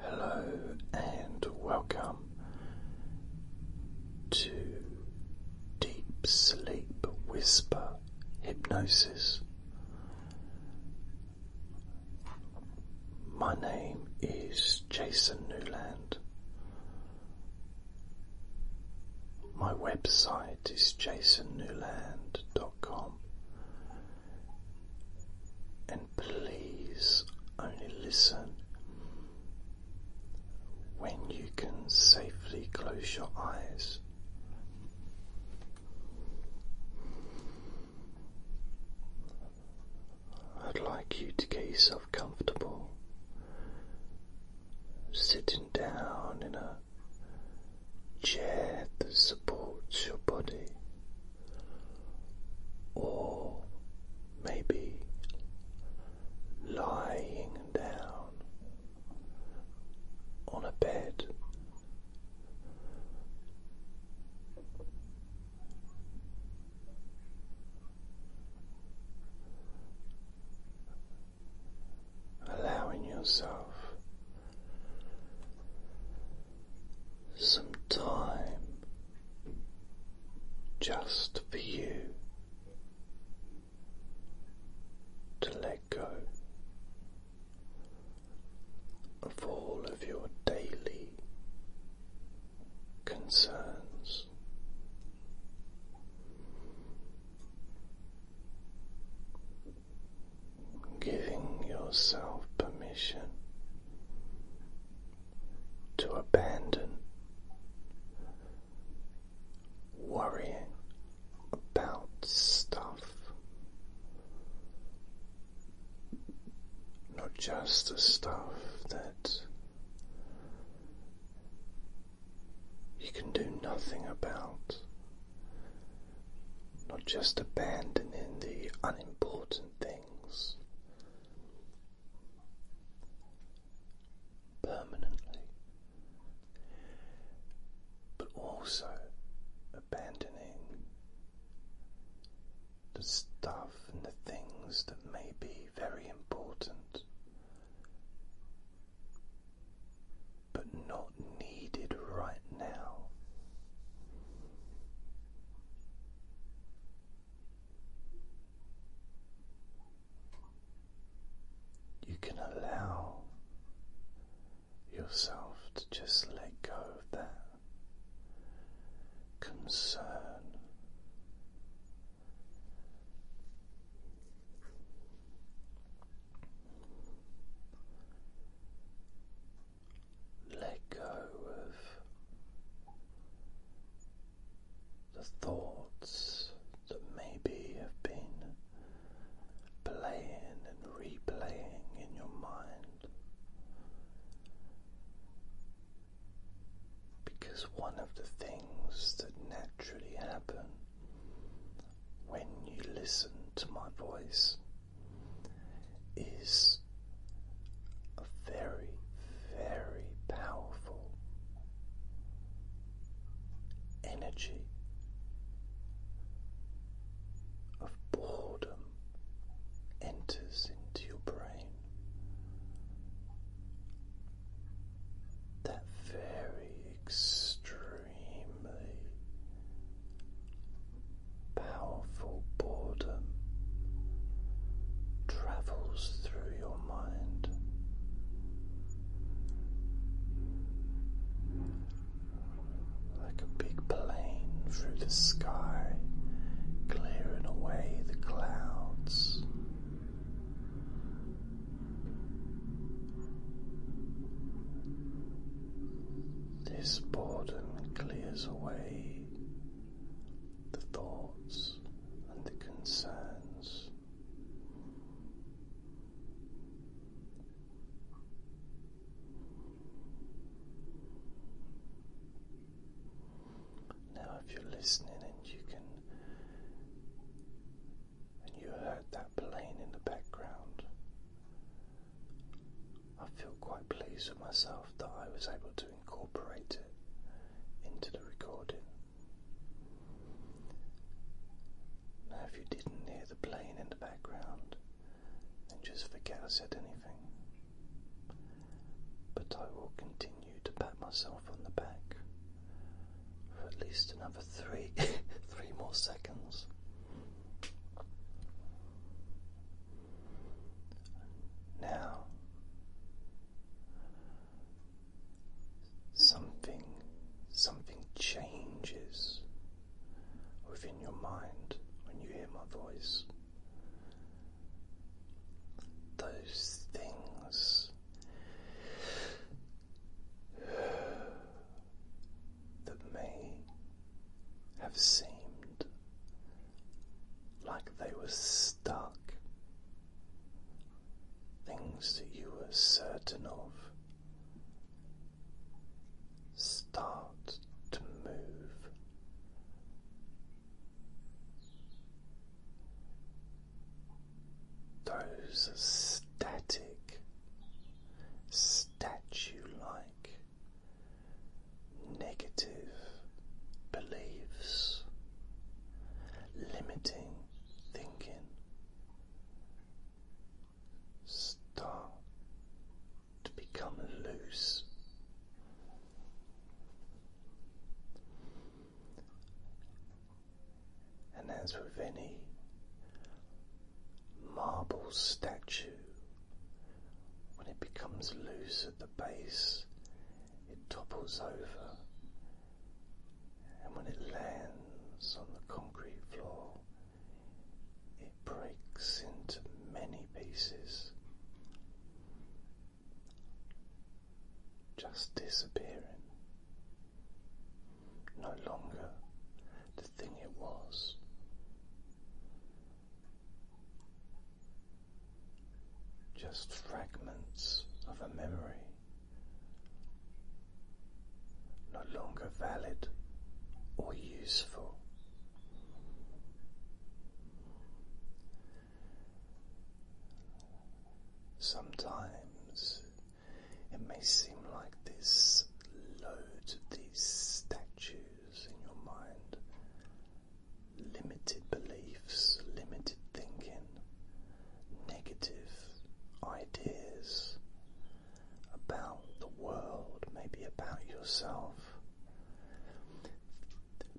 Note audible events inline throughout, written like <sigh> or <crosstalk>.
Hello and welcome to Deep Sleep Whisper Hypnosis. My name is Jason Newland. My website is jasonnewland.com. And please only listen when you can safely close your eyes. I'd like you to get yourself comfortable, sitting down in a chair that supports your body or maybe lying down on a bed. Allowing yourself some time just for you to let go of all of your daily concerns giving yourself permission to abandon worrying about stuff. Not just the stuff that you can do nothing about, not just abandoning the unimportant things permanently, but also abandoning the stuff and the things that may be very important. But not needed right now. You can allow yourself to just let go of that concern let go of the thoughts that maybe have been playing and replaying in your mind. Because one of the things that naturally happen when you listen to my voice is a very, very powerful energy of boredom enters into your brain. That very extremely powerful boredom travels through your mind. Like a big plane through the sky, clearing away the clouds. This boredom clears away the thoughts and the concerns. Now, if you're listening and you can, and you heard that plane in the background, I feel quite pleased with myself that I was able to incorporate it into the recording. Now, if you didn't hear the plane in the background, then just forget I said anything. But I will continue to pat myself on the back for at least another three, <laughs> three more seconds. Now, something, something changes within your mind when you hear my voice. Those things that may have seemed like they were stuck, things that you were certain of, start to move. Those static, statue like negative beliefs, limiting thinking. Start to become loose. And as with any marble statue when it becomes loose at the base, it topples over, and when it lands on the concrete floor, it breaks into many pieces, just disappearing. No longer thing it was. Just fragments of a memory, no longer valid or useful. Sometimes it may seem like this load, these statues in your mind, limited beliefs, limited thinking, negative ideas about the world, maybe about yourself,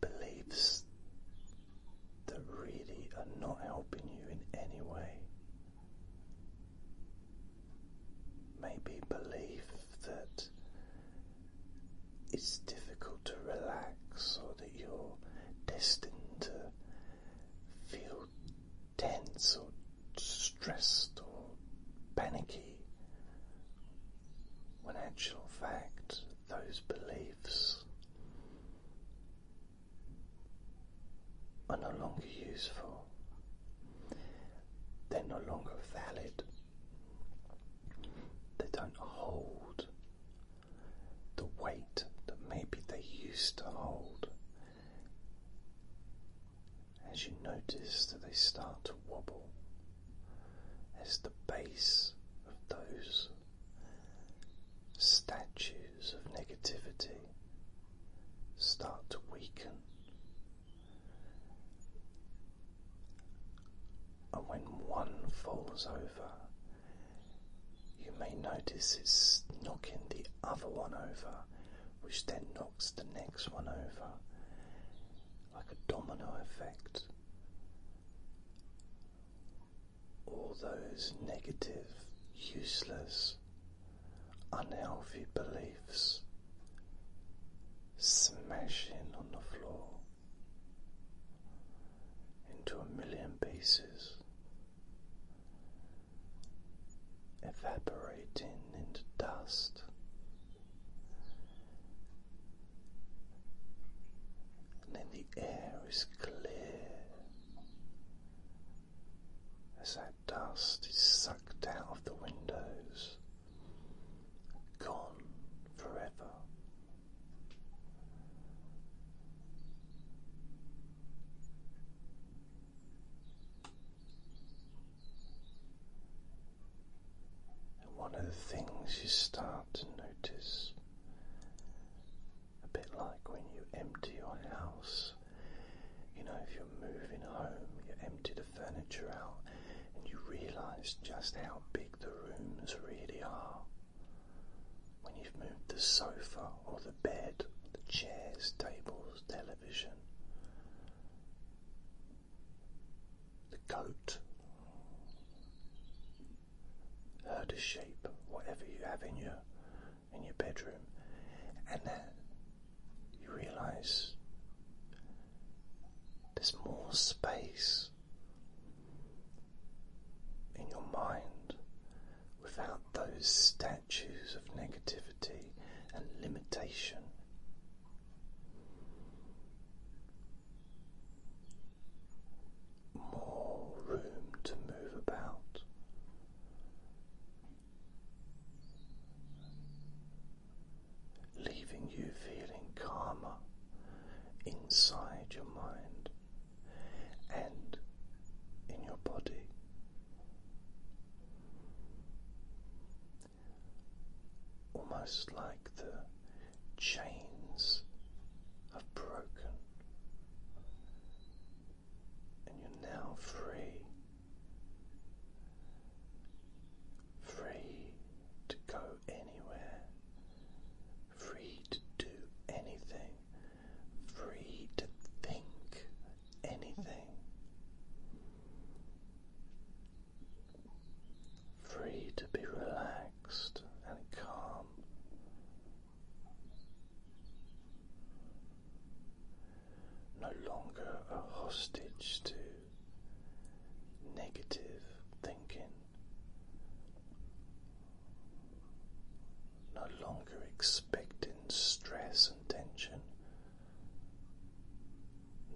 beliefs that really are not helping you in any way maybe belief that it's difficult to relax or that you're destined to feel tense or stressed or panicky, when actual fact those beliefs are no longer useful. They're no longer valid. They don't hold the weight that maybe they used to hold. As you notice that they start to wobble as the base of those statues of negativity start to weaken and when one falls over, you may notice it's knocking the other one over, which then knocks the next one over, like a domino effect. All those negative, useless, unhealthy beliefs smashing on the floor into a million pieces, evaporating into dust. And then the air is clear as I dust is sucked out of the windows, gone forever. And one of the things you start to notice, a bit like when you empty your house. You know, if you're moving home, you empty the furniture out and you realize just how big the rooms really are. When you've moved the sofa or the bed, the chairs, tables, television, the coat, herd of sheep, whatever you have in your in your bedroom, and you realize there's more space in your mind without those statues of negativity and limitation. More room to move about, leaving you feeling calmer inside your mind and in your body. Almost like the chains have broken, and you're now free free to go anywhere, free to do anything, free to think anything, free to be relaxed and calm no longer a hostage to negative thinking, no longer expecting stress and tension,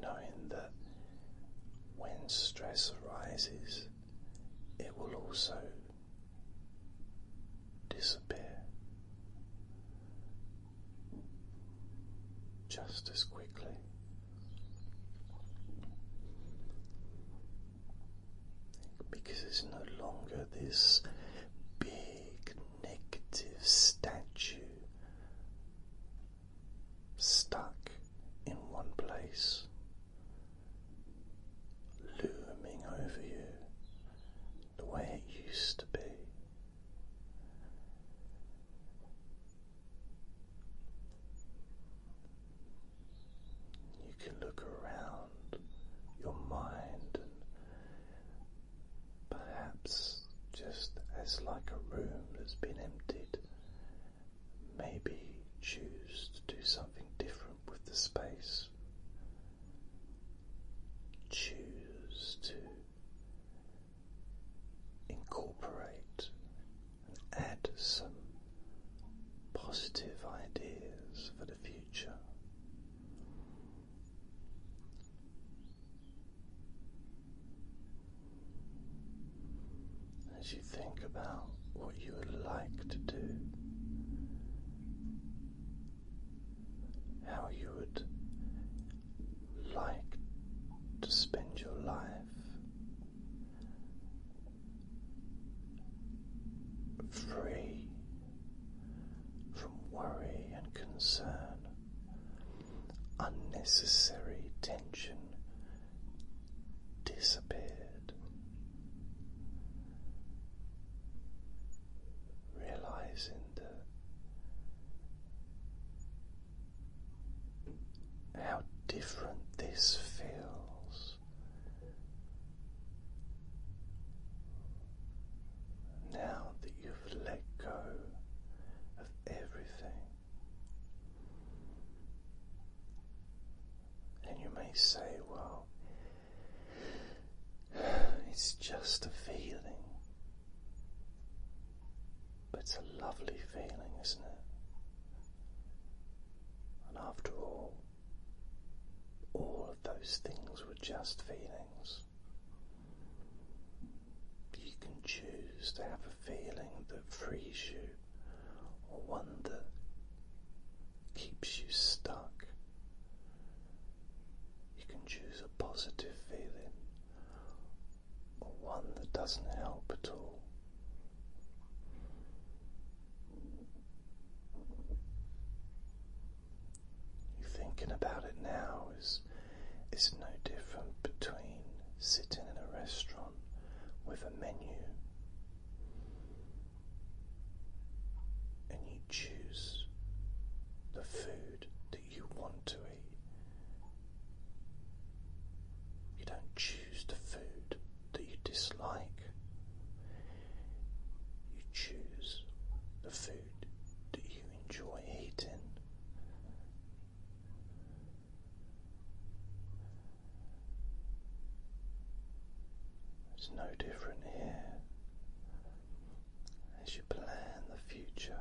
knowing that when stress arises, it will also disappear just as quickly. Because it's no longer this big negative statue stuck in one place, looming over you the way it used to be. You can look around your mind and perhaps just as like a room that's been emptied, maybe choose to do something different with the space. Choose to incorporate and add some positive ideas for the future. As you think about what you would like to do, how you would like to spend your life. Free from worry and concern, unnecessary tension disappeared. Realizing uh, how different this feels. Now that you've let go of everything, and you may say, Well, <sighs> it's just a feeling, but it's a lovely feeling, isn't it? And after all, all of those things were just feelings. You can choose to have a feeling that frees you, or one that keeps you stuck you can choose a positive feeling or one that doesn't help at all. You thinking about it now is is no different between sitting in a restaurant with a menu and you choose the food that you want to eat. You don't choose the food that you dislike. You choose the food that you enjoy eating. It's no different here as you plan the future.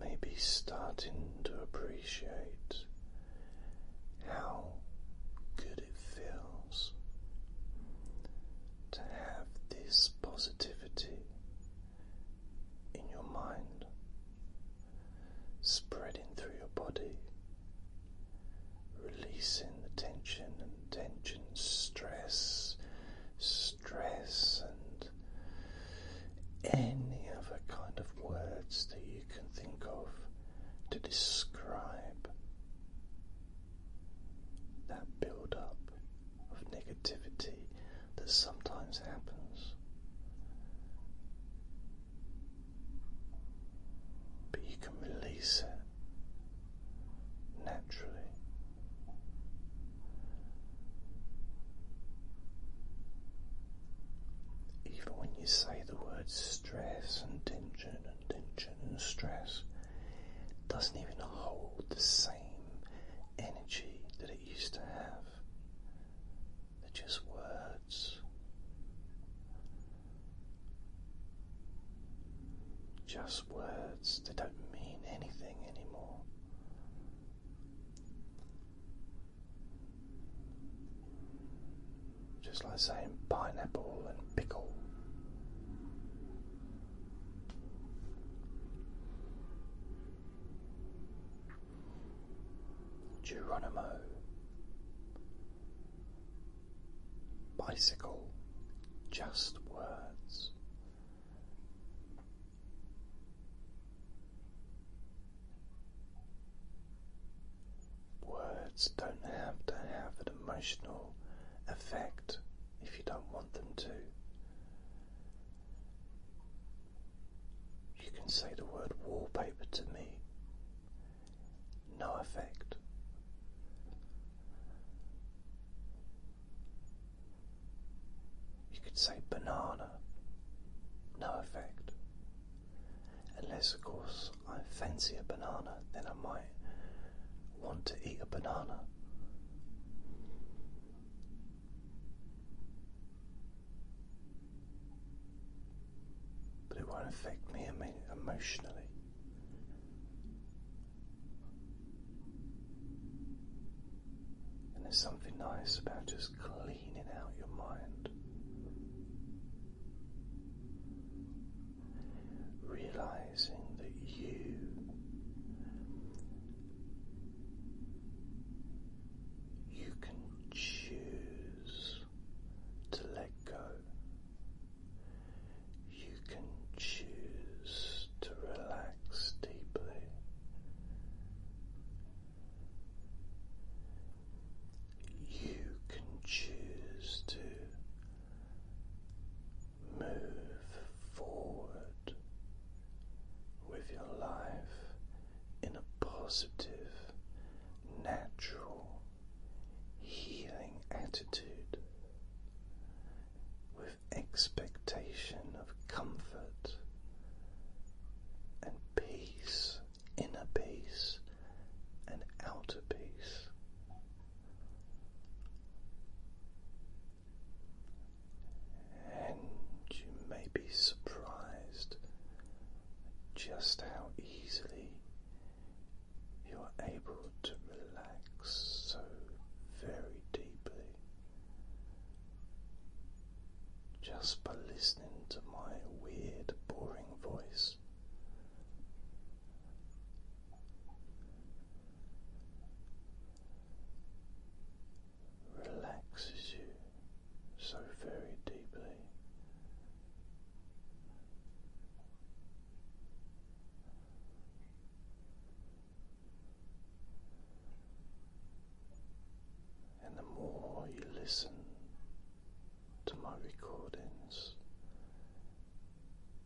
Maybe starting to appreciate how good it feels to have this positivity in your mind spreading through your body releasing the tension and tension, stress, stress, and any other kind of words that you can think of to describe that build up of negativity that sometimes happens but you can release it naturally. Even when you say the word stress and tension and tension and stress, doesn't even hold the same energy that it used to have. They're just words. Just words, they don't mean anything anymore. Just like saying pineapple and pickle. Geronimo bicycle, just words. Words don't have to have an emotional effect if you don't want them to. You can say the word wallpaper to me no effect. You could say banana, no effect. Unless, of course, I fancy a banana, then I might want to eat a banana but it won't affect me emotionally. And there's something nice about just cleaning out your mind. Realizing that you you can choose to let go you can choose to relax deeply. You can choose to move forward with your life in a positive, natural, healing attitude with expectation of comfort and peace, inner peace and outer peace. And you may be surprised just how easily you're able to relax so very deeply just by listening to my weird, boring voice. Relaxes you so very deeply, and the more you listen to my recordings,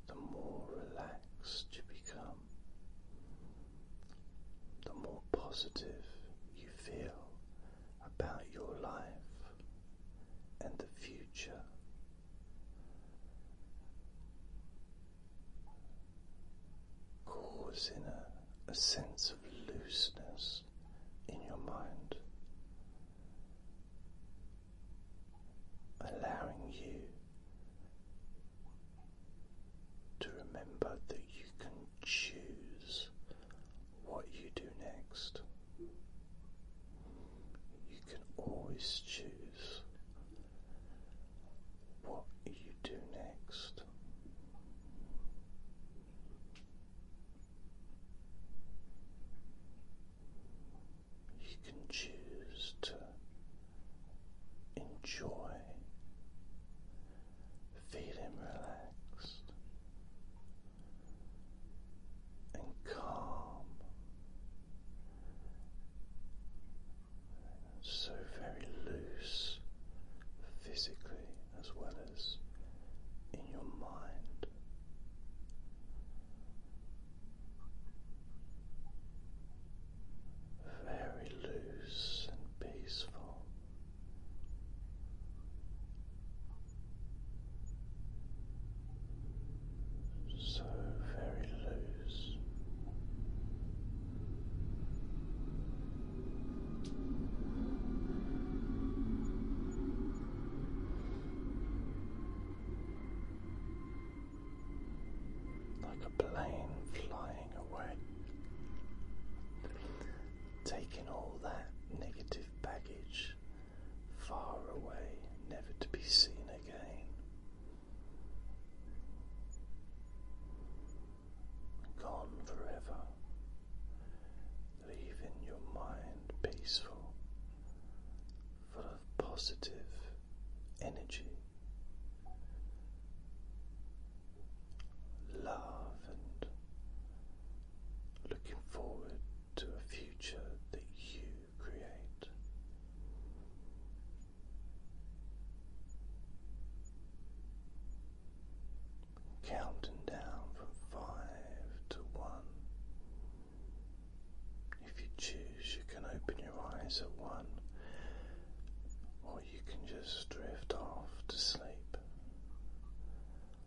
the more relaxed you become, the more positive you feel about your life and the future. Causing a, sense of looseness in your mind, allowing you to remember that you can choose what you do next. You can always choose what you do next. You can choose to enjoy feeling relaxed and calm, so very loose physically as well as in your mind. Very loose and peaceful, so very loose. Like a plane flying away, taking all that negative baggage far away, never to be seen again. Gone forever, leaving your mind peaceful, full of positive energy, love, and looking forward to a future that you create. Counting down from five to one. If you choose, you can open your eyes at one, or you can just drift off to sleep.